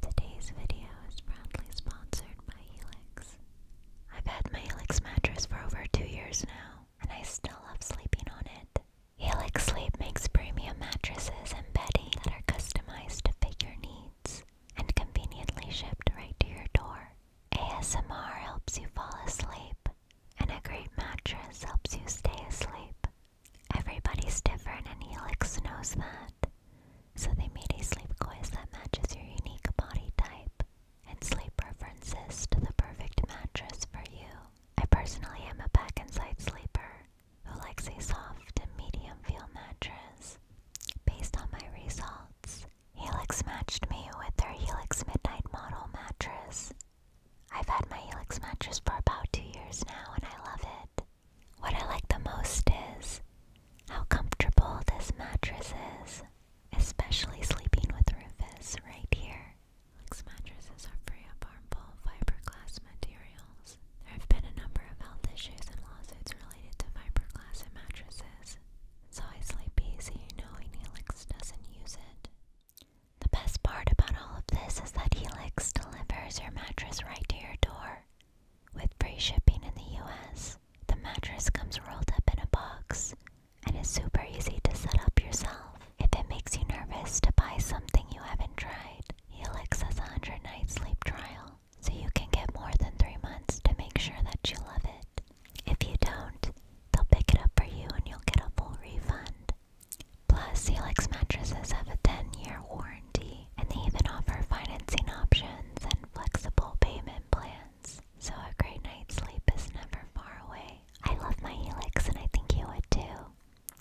Today's video is proudly sponsored by Helix. I've had my Helix mattress for over two years now, and I still love sleeping on it. Helix Sleep makes premium mattresses and bedding that are customized to fit your needs and conveniently shipped right to your door. ASMR helps you fall asleep, and a great mattress helps you stay asleep. Everybody's different and Helix knows that. So they made a sleep quiz that matches your unique body type and sleep preferences to the perfect mattress for you. I personally am a back and side sleeper who likes a soft and medium feel mattress. Based on my results, Helix matched me with their Helix Midnight model mattress. I've had my Helix mattress for about two years now and I love it. What I like the most is how comfortable this mattress is, especially sleeping with Rufus right here. Lux mattresses are free of harmful fiberglass materials. There have been a number of health issues and lawsuits related to fiberglass in mattresses, so I sleep easy knowing Helix doesn't use it. The best part about all of this is that Helix delivers your mattress right to your door. With free shipping in the US, the mattress comes rolled up in a box and is super easy to set up yourself. If it makes you nervous to buy something you haven't tried, Helix has a 100 night sleep trial, so you can get more than 3 months to make sure that you love it. If you don't, they'll pick it up for you and you'll get a full refund. Plus, Helix mattresses have a 10 year warranty and they even offer financing options and flexible payment plans. So a great night's sleep is never far away. I love my Helix and I think you would too.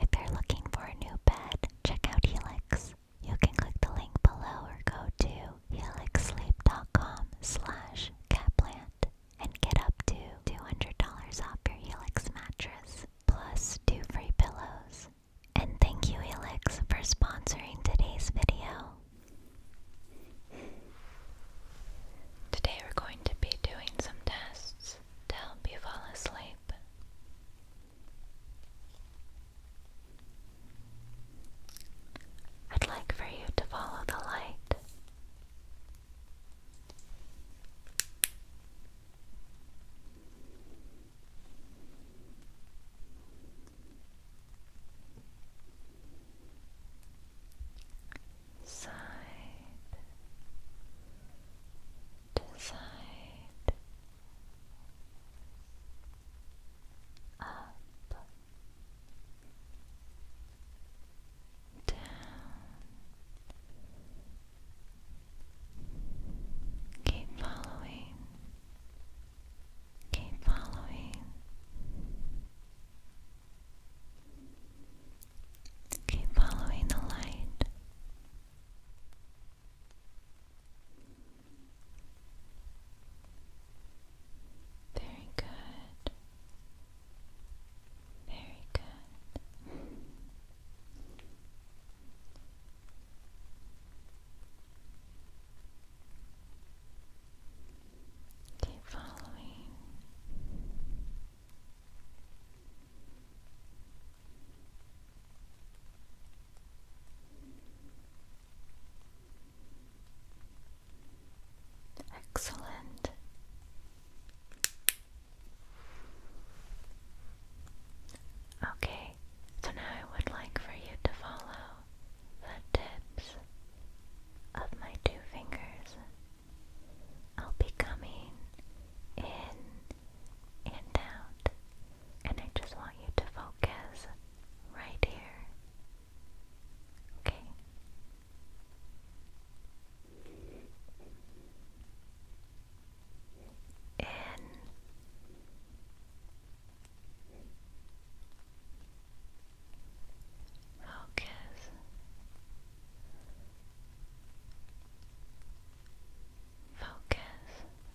If you're looking for a new bed, check out Helix. You can click the link below or go to helixsleep.com slash catplant and get up to $200 off your Helix mattress, plus two free pillows and thank you, Elix, for sponsoring today's video. Today we're going to be doing some tests to help you fall asleep. I'd like for you to follow the light. Side to side, up, down, keep following Keep following. Keep following the light. Very good. Very good. Keep following. Excellent. Okay, so now I would like for you to follow the tips of my two fingers. I'll be coming in and out, and I just want you to focus right here. Okay? In Focus Focus Focus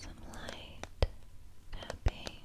Some light tapping.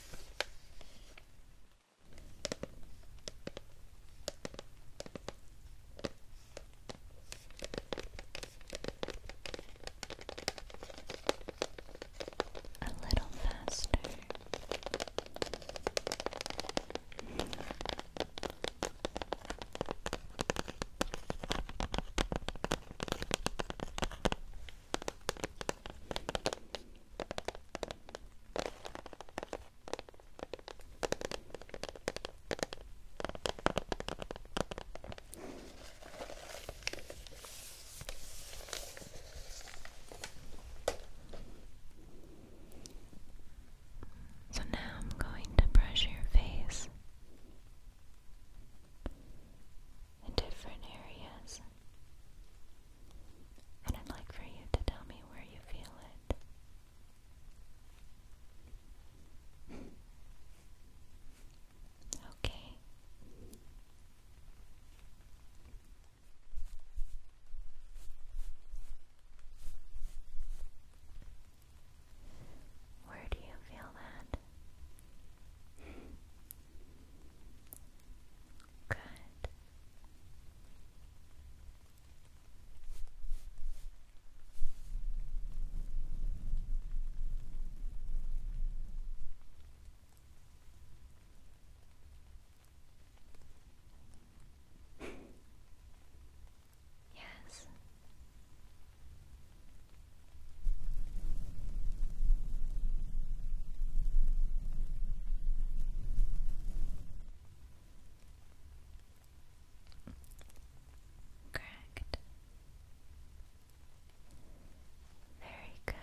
A little faster. So now I'm going to brush your face in different areas. And I'd like for you to tell me where you feel it. okay. Where do you feel that? Good. yes. Correct. Very good.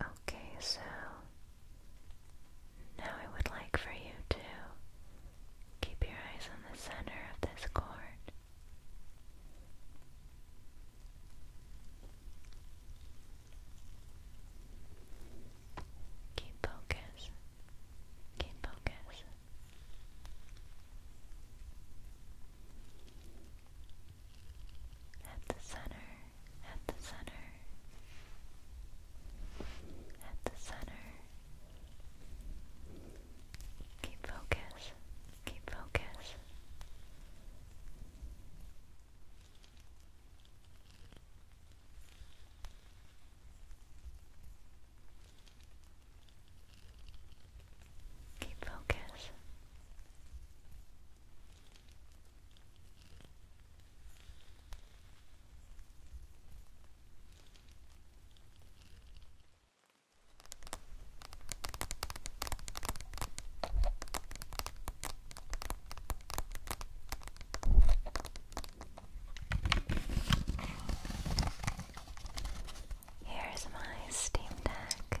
Okay, so now I would like for you to keep your eyes on the center of this cord. Keep focus. Keep focus. At the center at the center, at the center. Keep focus, keep focus. Keep focus. Here's my Steam Deck.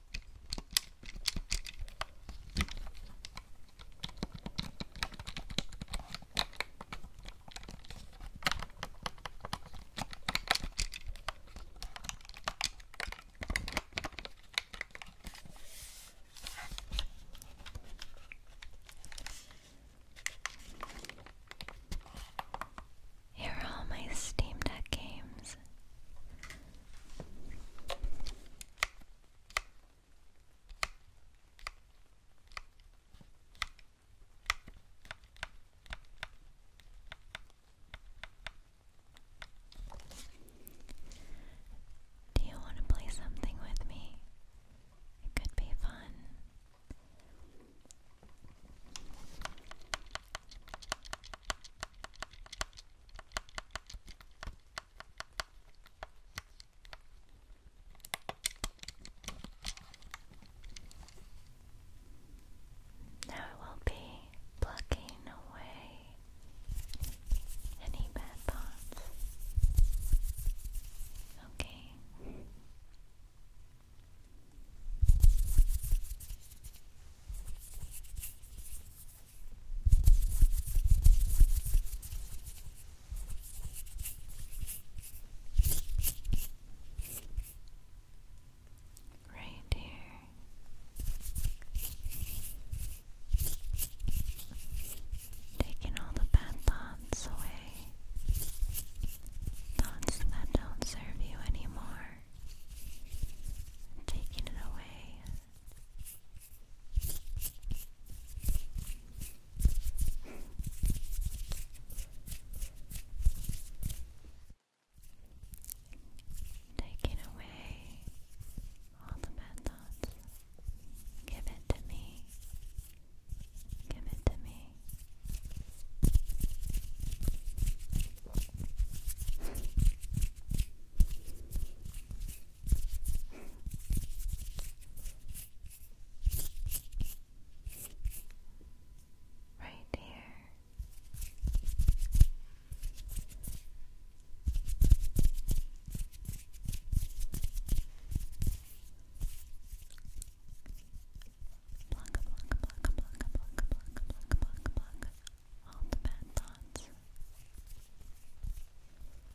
Here are my Steam Deck games. Do you want to play something with me? It could be fun. Now I will be plucking away any bad thoughts. Okay. Right here. Taking all the bad thoughts away. Thoughts that don't serve you anymore. Taking it away Taking away all the bad thoughts. Give it to me. Give it to me. Right here. Block, block, block, block, block, block, block, block, block. All the bad thoughts.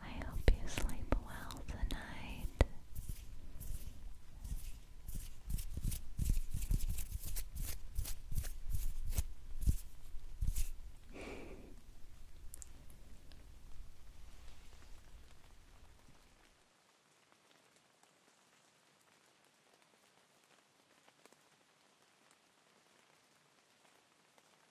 I hope you sleep well tonight.